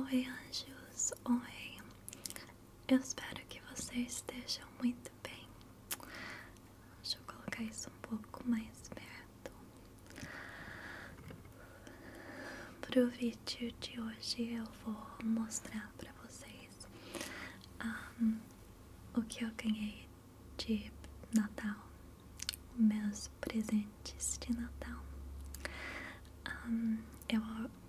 Oi, anjos, oi. Eu espero que vocês estejam muito bem. Deixa eu colocar isso um pouco mais perto. Pro vídeo de hoje eu vou mostrar para vocês o que eu ganhei de Natal meus presentes de Natal. eu,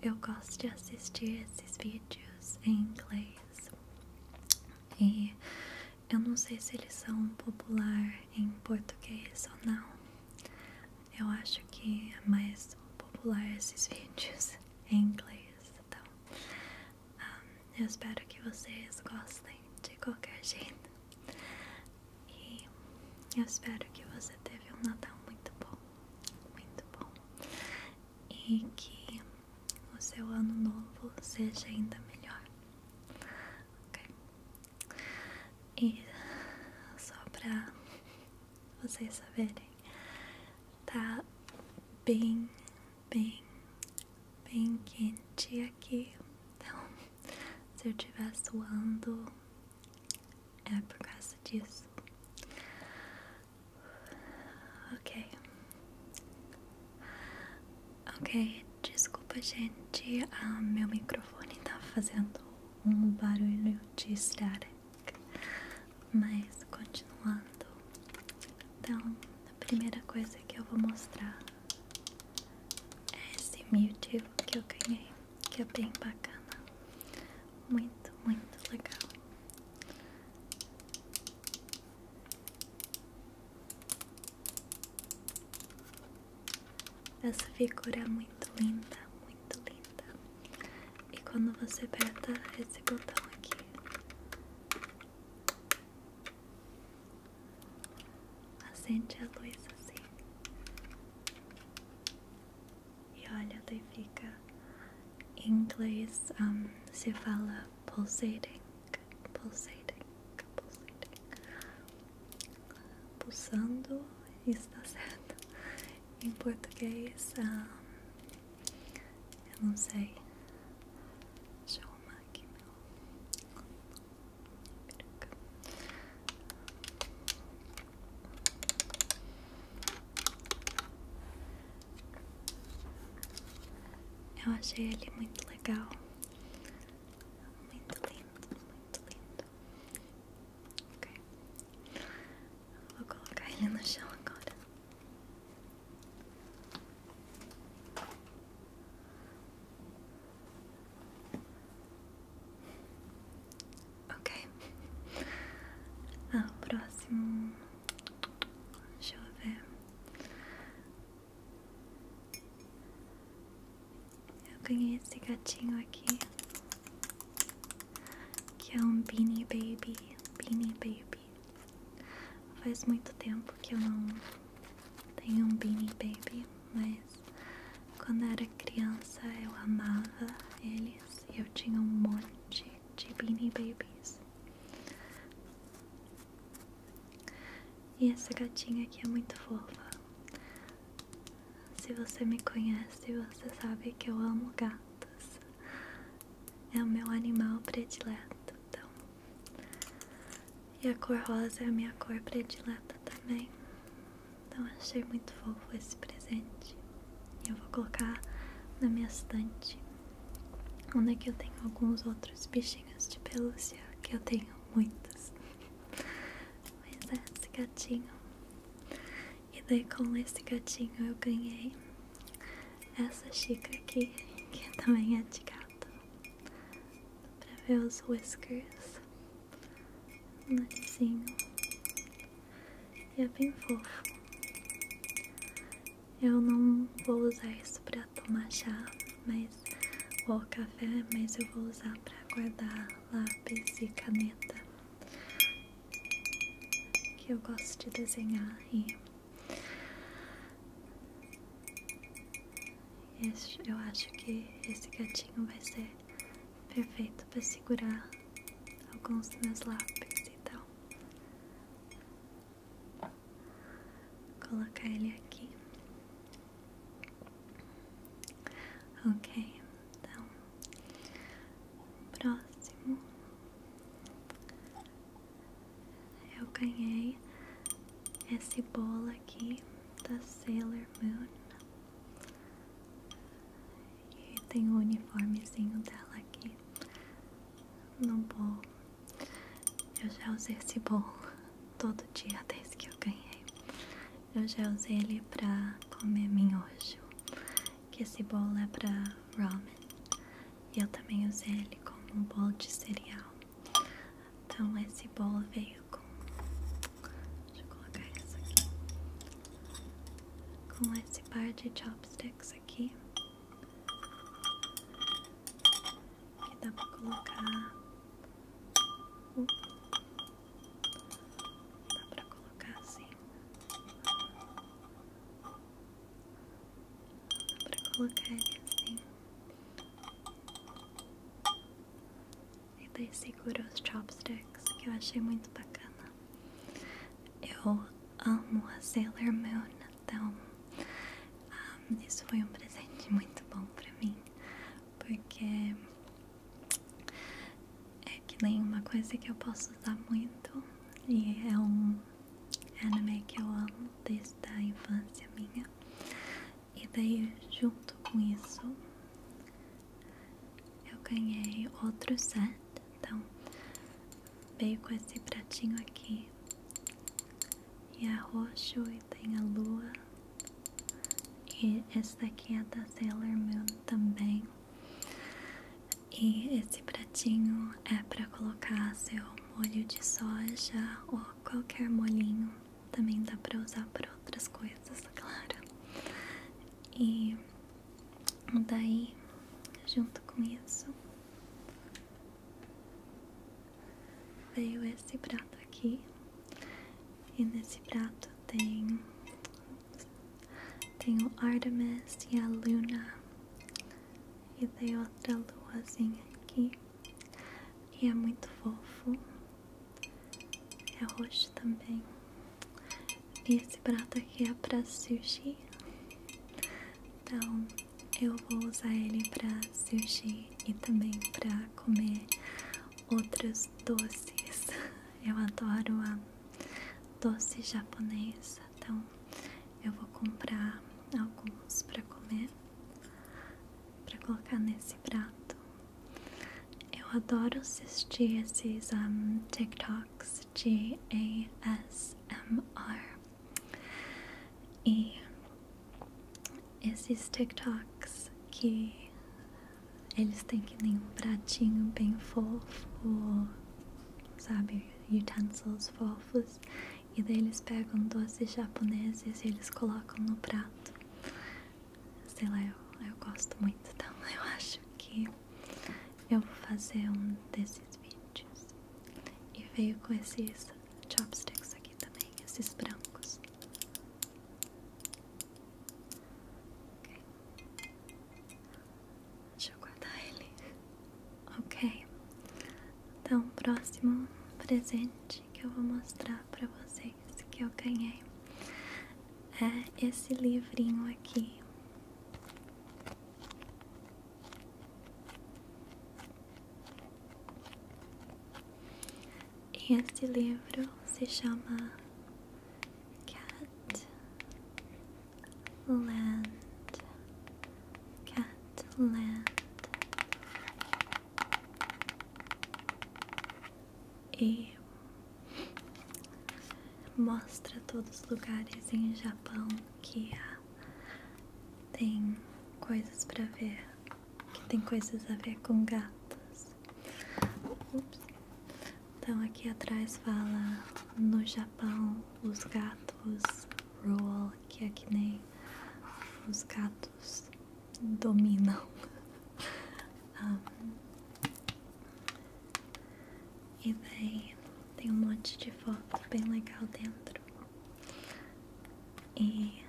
eu gosto de assistir esses vídeos em inglês e eu não sei se eles são populares em português ou não. Eu acho que é mais popular esses vídeos em inglês. Então, eu espero que vocês gostem de qualquer jeito. E eu espero que você teve um Natal muito bom, muito bom. E que o seu ano novo seja ainda melhor. Ok? E só pra vocês saberem, tá bem, bem, bem quente aqui. Então se eu estiver suando, é por causa disso. Ok. Ok, desculpa, gente. Ah, meu microfone tá fazendo um barulho de estrada. Mas continuando. Então, a primeira coisa que eu vou mostrar é esse Mewtwo que eu ganhei, que é bem bacana, muito, muito legal. Essa figura é muito linda, muito linda. E quando você aperta esse botão aqui, Acende a luz assim. E olha, daí fica. Em inglês se fala pulsating, pulsating, pulsating. Pulsando está certo. Em português, eu não sei. Deixa eu arrumar aqui meu. Eu achei ele muito legal, muito lindo, muito lindo. Okay. Vou colocar ele no chão agora. Ok. Ah, o próximo. Deixa eu ver. Eu ganhei esse gatinho aqui. Que é um Beanie Baby. Beanie Baby. Faz muito tempo que eu não tem um Beanie Baby, mas quando era criança eu amava eles e eu tinha um monte de Beanie Babies. E essa gatinha aqui é muito fofa. Se você me conhece, você sabe que eu amo gatos. É o meu animal predileto. Então, e a cor rosa é a minha cor predileta também. Então achei muito fofo esse presente. Eu vou colocar na minha estante, onde é que eu tenho alguns outros bichinhos de pelúcia, que eu tenho muitos. Mas é esse gatinho. E daí com esse gatinho eu ganhei essa xícara aqui, que também é de gato pra ver os whiskers, o narizinho, e é bem fofo. Eu não vou usar isso pra tomar chá, mas ou café, mas eu vou usar pra guardar lápis e caneta, que eu gosto de desenhar e eu acho que esse gatinho vai ser perfeito para segurar alguns dos meus lápis, então Vou colocar ele aqui. Ok, então próximo eu ganhei esse bolo aqui da Sailor Moon. E tem o uniformezinho dela aqui. no bol. Eu já usei esse bol todo dia desde que eu ganhei. Eu já usei ele pra comer minhojo. Que esse bol é pra ramen. E eu também usei ele como um bol de cereal. Então esse bolo veio com. Deixa eu colocar isso aqui. Com esse par de chopsticks aqui. Que dá pra colocar. Uh, dá pra colocar assim. Dá pra colocar ele assim. E daí segura os chopsticks, que eu achei muito bacana. Eu amo a Sailor Moon, então ah, isso foi um presente muito bom pra mim, porque é que nem uma coisa que eu posso usar muito e é um anime que eu amo desde a infância minha. E daí, junto com isso, eu ganhei outro set. Então, veio com esse pratinho aqui. E é roxo e tem a lua. E esse daqui é da Sailor Moon também. E esse pratinho é para colocar seu molho de soja ou qualquer molhinho também dá para usar para outras coisas, claro. E daí, junto com isso, veio esse prato aqui. E nesse prato tem, tem o Artemis e a Luna. E tem outra luazinha aqui. E é muito fofo. É roxo também. E esse prato aqui é para sushi. Então eu vou usar ele para sushi e também para comer outros doces. Eu adoro a doce japonesa. Então eu vou comprar alguns para comer, para colocar nesse prato. Eu adoro assistir esses um, TikToks de ASMR. E esses TikToks que eles têm que nem um pratinho bem fofo, sabe? Utensils fofos. E daí eles pegam doces japoneses e eles colocam no prato sei lá, eu, eu gosto muito, então eu acho que eu vou fazer um desses vídeos. E veio com esses chopsticks aqui também, esses brancos. Deixa eu guardar ele. Ok. Então, próximo presente que eu vou mostrar pra vocês itens que eu ganhei é esse livrinho aqui. E esse livro se chama Cat Land. Cat Land e mostra todos os lugares em Japão que tem coisas para ver, que tem coisas a ver com gatos. Então aqui atrás fala no Japão os gatos rule, que é que nem os gatos adultos dominam. Ah, e daí tem um monte de foto bem legal dentro. E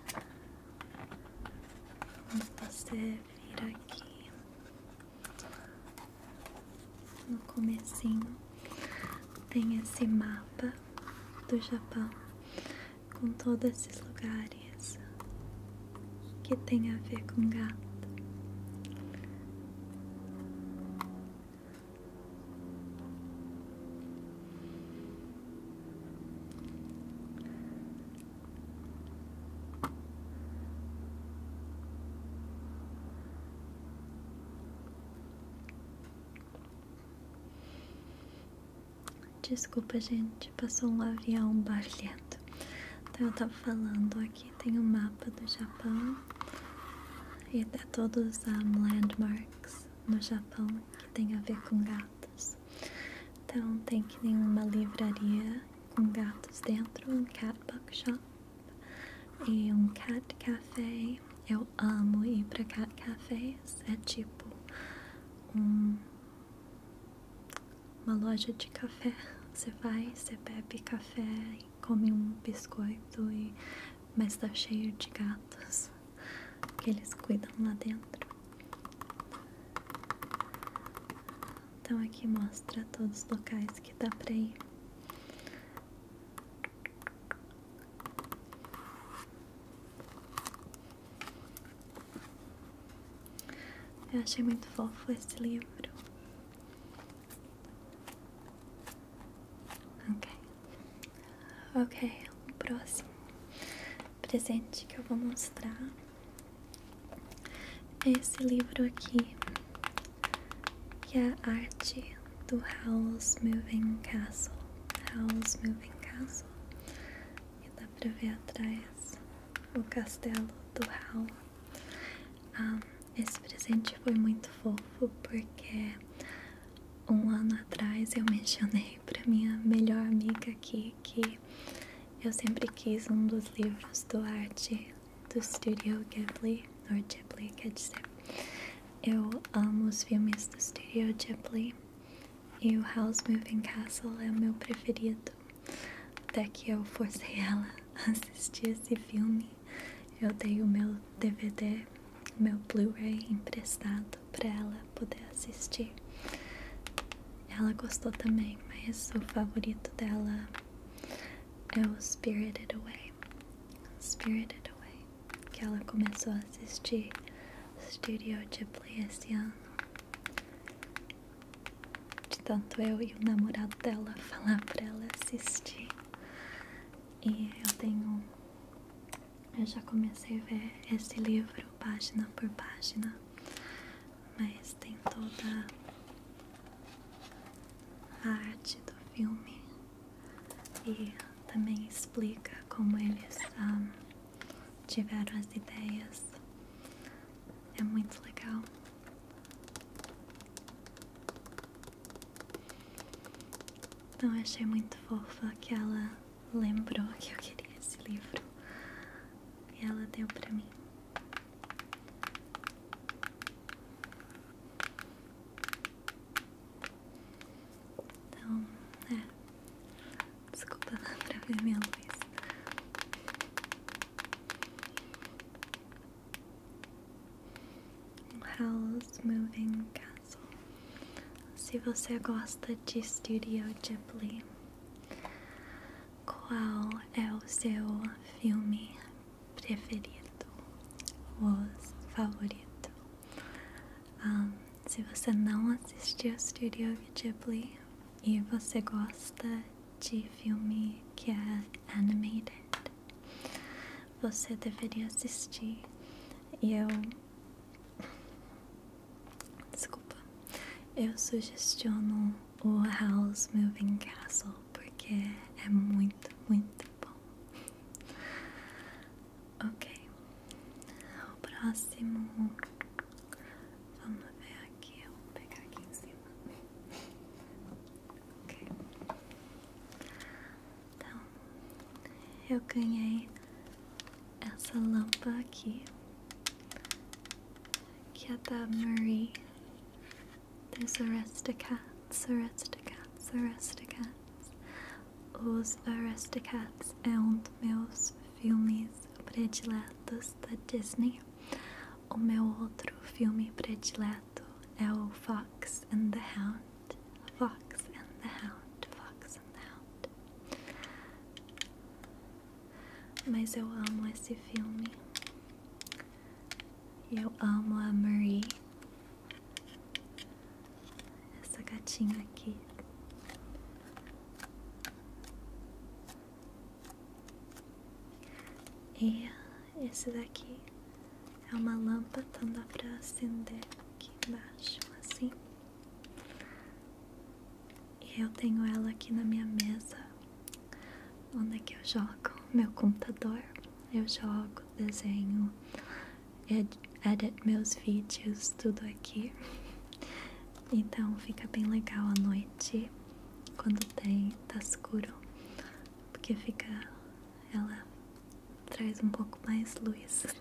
quando você vira aqui no comecinho tem esse mapa do Japão com todos esses lugares que tem a ver com gato. Desculpa, gente, passou um avião barulhento. Então, eu tava falando aqui, tem um mapa do Japão e até tá todos os landmarks no Japão que tem a ver com gatos. Então, tem que tem uma livraria com gatos dentro, um cat bookshop e um cat café. Eu amo ir para cat cafés, é tipo um uma loja de café. Você vai, você bebe café e come um biscoito, e... mas tá cheio de gatos que eles cuidam lá dentro. Então aqui mostra todos os locais que dá pra ir. Eu achei muito fofo esse livro. Ok. o próximo presente que eu vou mostrar é esse livro aqui, que é a arte do House Moving Castle. House Moving Castle e dá pra ver atrás o castelo do Hal. Ah, esse presente foi muito fofo porque um ano atrás eu mencionei pra minha melhor amiga aqui que eu sempre quis um dos livros do arte do Studio Ghibli, ou Ghibli, quer dizer. Eu amo os filmes do Studio Ghibli e o House Moving Castle é o meu preferido. Até que eu forcei ela a assistir esse filme. Eu dei o meu DVD, meu Blu-ray emprestado para ela poder assistir. Ela gostou também, mas o favorito dela é o Spirited Away. Spirited Away, que ela começou a assistir Studio Ghibli esse ano. De tanto eu e o namorado dela falar para ela assistir. E eu tenho. Eu já comecei a ver esse livro página por página, mas tem toda a arte do filme e também explica como eles. Um, ah, tiveram as ideias. É muito legal. Então achei muito fofa que ela lembrou que eu queria esse livro e ela deu para mim. Então, é. Desculpa lá pra ver minha luz. Howl's Moving Castle. Se você gosta de Studio Ghibli, qual é o seu filme preferido? O favorito? Ah, se você não assistiu Studio Ghibli, e você gosta de filme que é animated? Você deveria assistir. E eu. Desculpa. Eu sugestiono o House Moving Castle porque é muito, muito bom. Ok. O próximo Vamos ver aqui, eu vou pegar aqui em cima. ok. Então, eu ganhei essa lâmpada aqui, que é da Marie. Dos Aristocats, Aristocats, Aristocats. Os Aristocats é um dos meus filmes prediletos da Disney. O meu outro filme predileto é o Fox and the Hound. Fox and the Hound, Fox and the Hound. Mas eu amo esse filme. eu amo a Marie. Essa gatinha aqui. E esse daqui é uma lâmpada, então dá pra acender aqui embaixo, assim. E eu tenho ela aqui na minha mesa, onde é que eu jogo meu computador. Eu jogo, desenho, ed edit meus vídeos, tudo aqui. Então fica bem legal à noite quando tem tá escuro, porque fica ela traz um pouco mais luz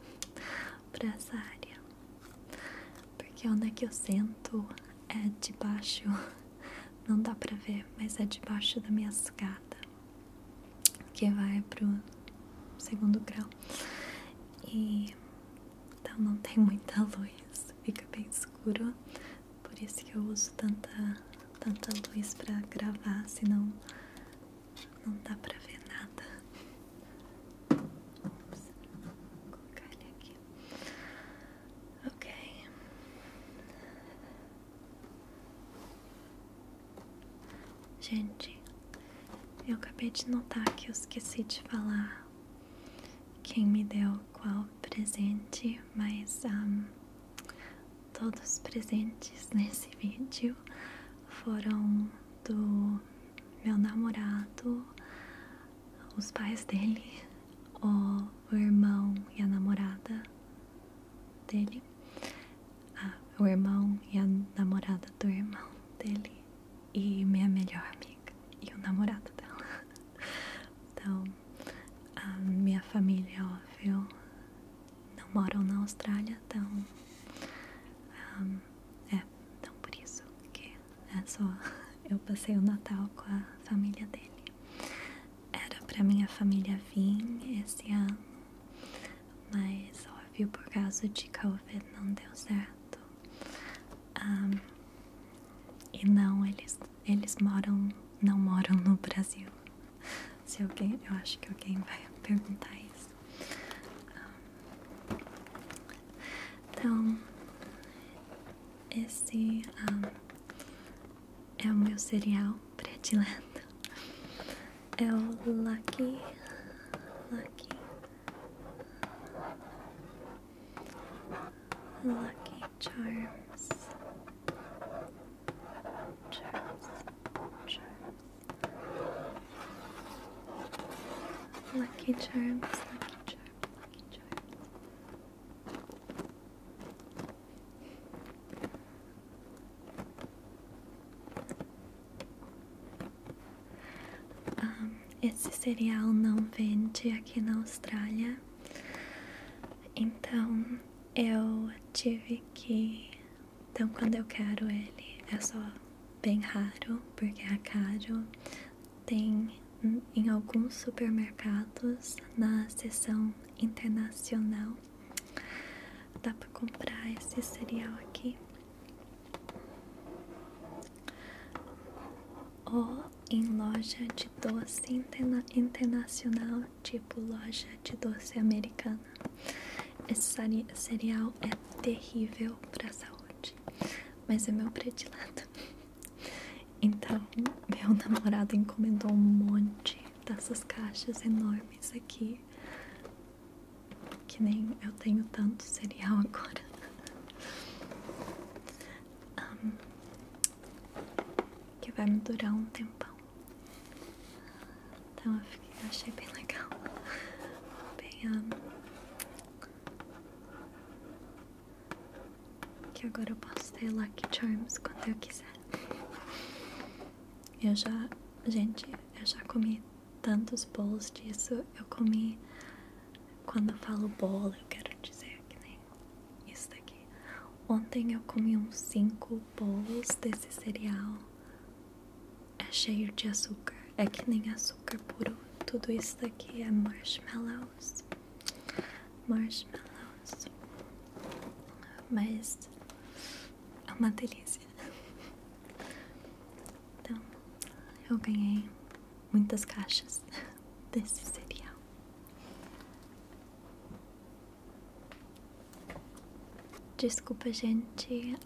para essa área. Porque onde é que eu sento é debaixo, não dá para ver, mas é debaixo da minha escada que vai pro segundo grau e então não tem muita luz, fica bem escuro, por isso que eu uso tanta, tanta luz para gravar, senão não dá para ver nada. Ops, vou colocar ele aqui. Ok. Gente, eu acabei de notar que eu esqueci de falar quem me deu qual presente, mas todos presentes nesse vídeo foram do meu namorado, os pais dele, o, o irmão e a namorada dele, ah, o irmão e a namorada do irmão dele e minha melhor amiga e o namorado dela. Então, a minha família, óbvio, não moram na Austrália, então é, então por isso que é só eu passei o Natal com a família dele. Era pra minha família vir esse ano, mas óbvio por causa de Covid não deu certo e não, eles, eles moram, não moram no Brasil. Se alguém, eu acho que alguém vai perguntar isso. então, esse é o meu cereal predileto. É o Lucky, Lucky, Lucky Charms. Charms. Charms. Lucky Charms. Lucky Charms. Lucky Charms. Ah, esse cereal não vende aqui na Austrália, então eu tive que. Então, quando eu quero ele, é só bem raro, porque é caro. Tem em alguns supermercados na seção internacional. Dá para comprar esse cereal aqui. Ou em loja de doce internacional, tipo loja de doce americana. Esse cereal é terrível para saúde, mas é meu predileto. Então, meu namorado encomendou um monte dessas caixas enormes aqui. Que nem eu tenho tanto cereal agora que vai me durar um tempão. Então eu, achei bem legal. Bem, que agora eu posso ter Lucky Charms quando eu quiser. Eu já, gente, eu já comi tantos bolos disso. Eu comi quando eu falo bolo eu quero dizer que nem isso daqui. Ontem eu comi uns 5 bolos desse cereal. É cheio de açúcar. É que nem açúcar puro. Tudo isso daqui é marshmallows. Marshmallows. Mas é uma delícia. Então, eu ganhei muitas caixas desse cereal. Desculpa, gente,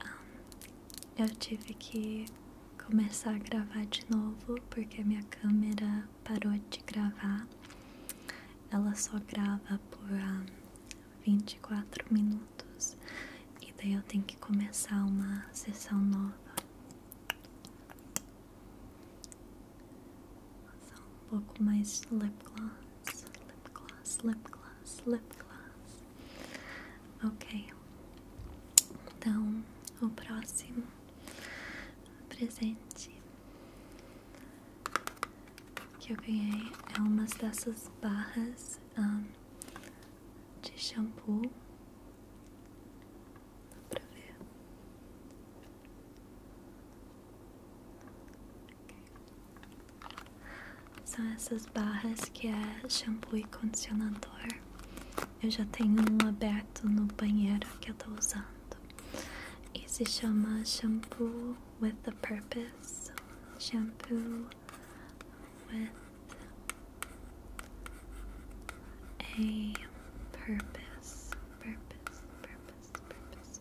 eu tive que começar a gravar de novo porque a minha câmera parou de gravar. Ela só grava por um, 24 minutos e daí eu tenho que começar uma sessão nova. Só um pouco mais lip gloss, lip gloss, lip gloss, lip gloss. Ok. Então, o próximo presente que eu ganhei é umas dessas barras de shampoo. Dá pra ver? São essas barras que é shampoo e condicionador. Eu já tenho um aberto no banheiro que eu tô usando. E se chama Shampoo with a Purpose. Shampoo with a purpose, purpose, purpose, purpose,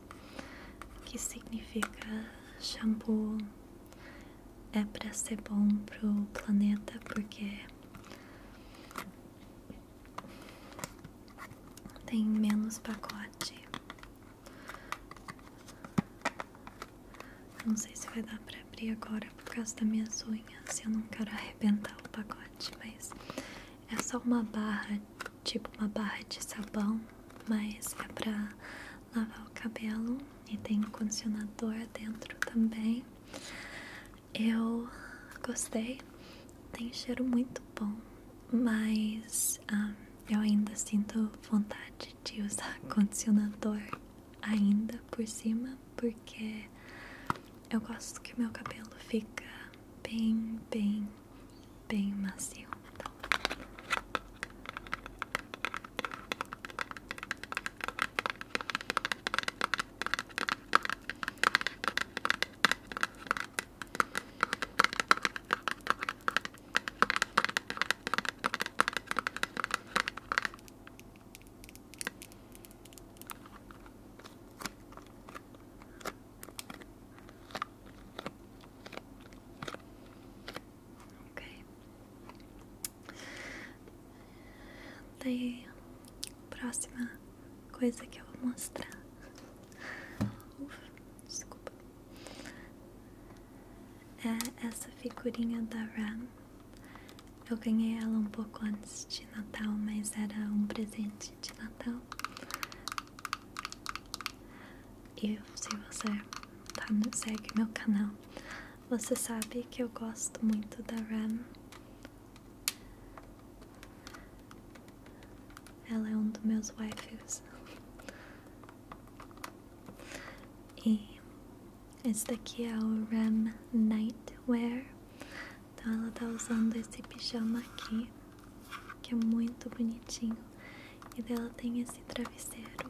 que significa shampoo é para ser bom pro planeta porque tem menos pacote não sei se vai dar pra abrir agora por causa da minhas unhas eu não quero arrebentar o pacote, mas é só uma barra, tipo uma barra de sabão, mas é pra lavar o cabelo e tem condicionador dentro também. Eu gostei, tem cheiro muito bom, mas ah, eu ainda sinto vontade de usar condicionador ainda por cima porque eu gosto que meu cabelo fica bem, bem, bem macio. Então. Ok. Daí, próxima coisa que eu vou mostrar. Ufa, desculpa. É essa figurinha da Ram eu ganhei ela um pouco antes de Natal, mas era um presente de Natal. E se você tá no, segue meu canal, você sabe que eu gosto muito da Ram. Ela é um dos meus waifus. E esse daqui é o REM Nightwear. Então ela tá usando esse pijama aqui, que é muito bonitinho. E dela tem esse travesseiro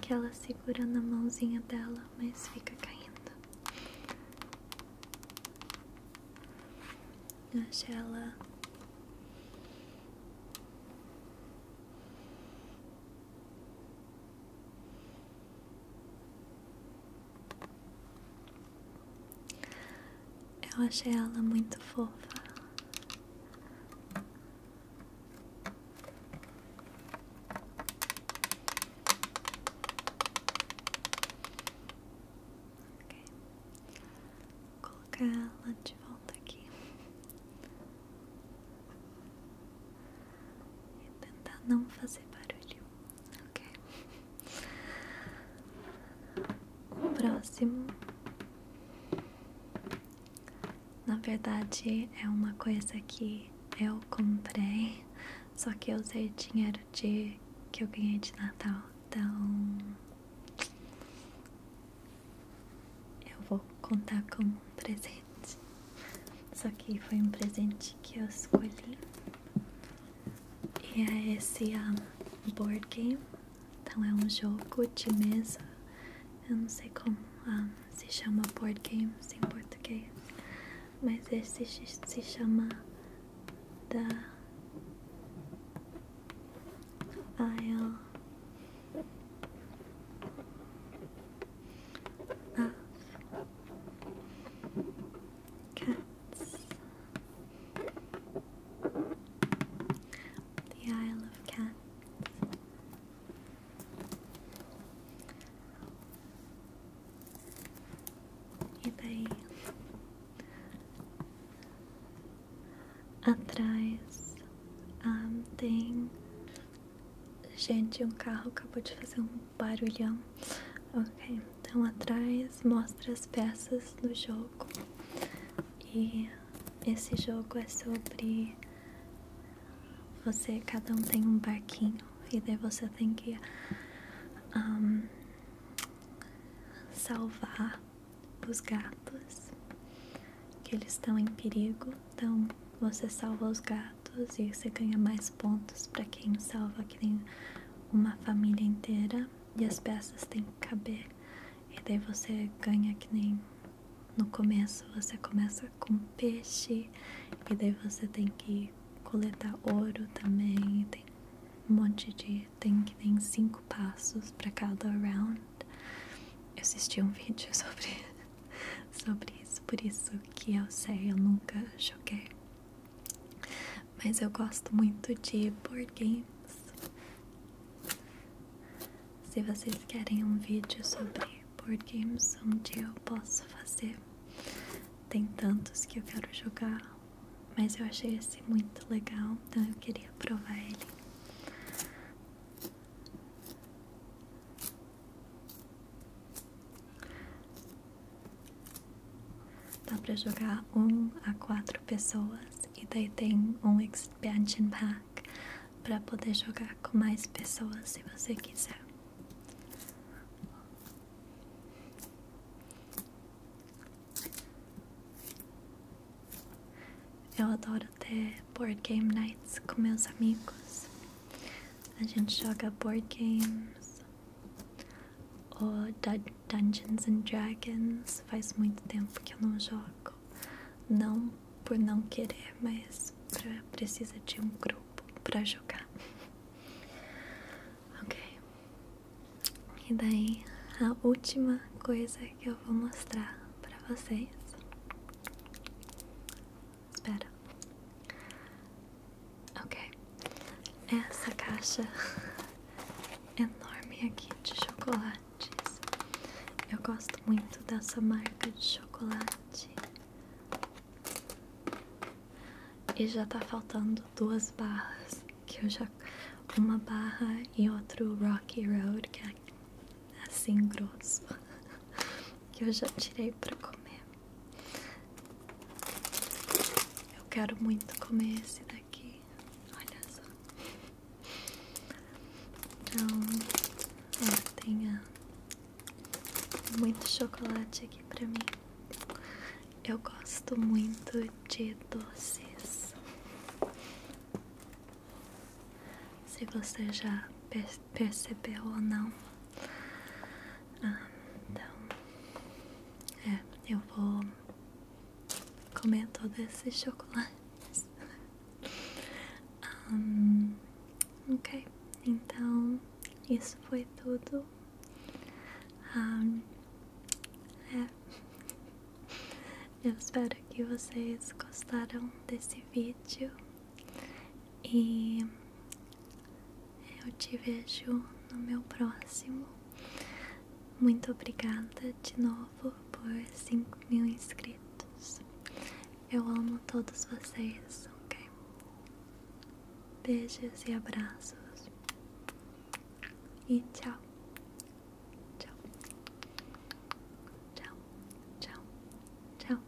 que ela segura na mãozinha dela, mas fica caindo. Eu achei ela eu achei ela muito fofa. Okay. Vou colocar ela de volta aqui. E tentar não fazer barulho, ok? O próximo, na verdade, é uma coisa que eu comprei, só que usei dinheiro de que eu ganhei de Natal, então eu vou contar como presente. Só que foi um presente que eu escolhi. E é esse ah, board game. Então é um jogo de mesa. Eu não sei como ah, se chama board game em português. Mas esse se chama da Isle ah, é, cats. The Isle of Cats. They atrás um, tem Gente, um carro acabou de fazer um barulhão. Ok, então atrás mostra as peças do jogo. E esse jogo é sobre você, cada um tem um barquinho e daí você tem que salvar os gatos que eles estão em perigo. Então você salva os gatos e você ganha mais pontos para quem salva que nem uma família inteira e as peças têm que caber e daí você ganha que nem no começo você começa com peixe e daí você tem que coletar ouro também tem um monte de tem que nem cinco passos para cada round eu assisti um vídeo sobre sobre isso, por isso que eu sei, eu nunca joguei. Mas eu gosto muito de board games. Se vocês querem um vídeo sobre board games, um dia eu posso fazer. Tem tantos que eu quero jogar, mas eu achei esse muito legal, então eu queria provar ele. Dá pra jogar um a quatro pessoas e daí tem um expansion pack pra poder jogar com mais pessoas se você quiser. Eu adoro ter board game nights com meus amigos. A gente joga board games ou Dungeons and Dragons. Faz muito tempo que eu não jogo. Não por não querer, mas precisa de um grupo pra jogar. ok. E daí a última coisa que eu vou mostrar pra vocês Espera. Ok. Essa caixa enorme aqui de chocolates. Eu gosto muito dessa marca de chocolate. E já tá faltando duas barras. Que eu já. Uma barra e outro Rocky Road, que é assim grosso. que eu já tirei para comer. Eu quero muito comer esse daqui. Olha só. Então, tem muito chocolate aqui para mim. Eu gosto muito de doces. Se você já percebeu ou não. Ah, então, é, eu vou comer todos esses chocolates. Ah, ok, então isso foi tudo. Ah, é. Eu espero que vocês gostaram desse vídeo. E eu te vejo no meu próximo. Muito obrigada de novo por 5 mil inscritos. Eu amo todos vocês, ok? Beijos e abraços. E tchau. Tchau. Tchau. Tchau. Tchau.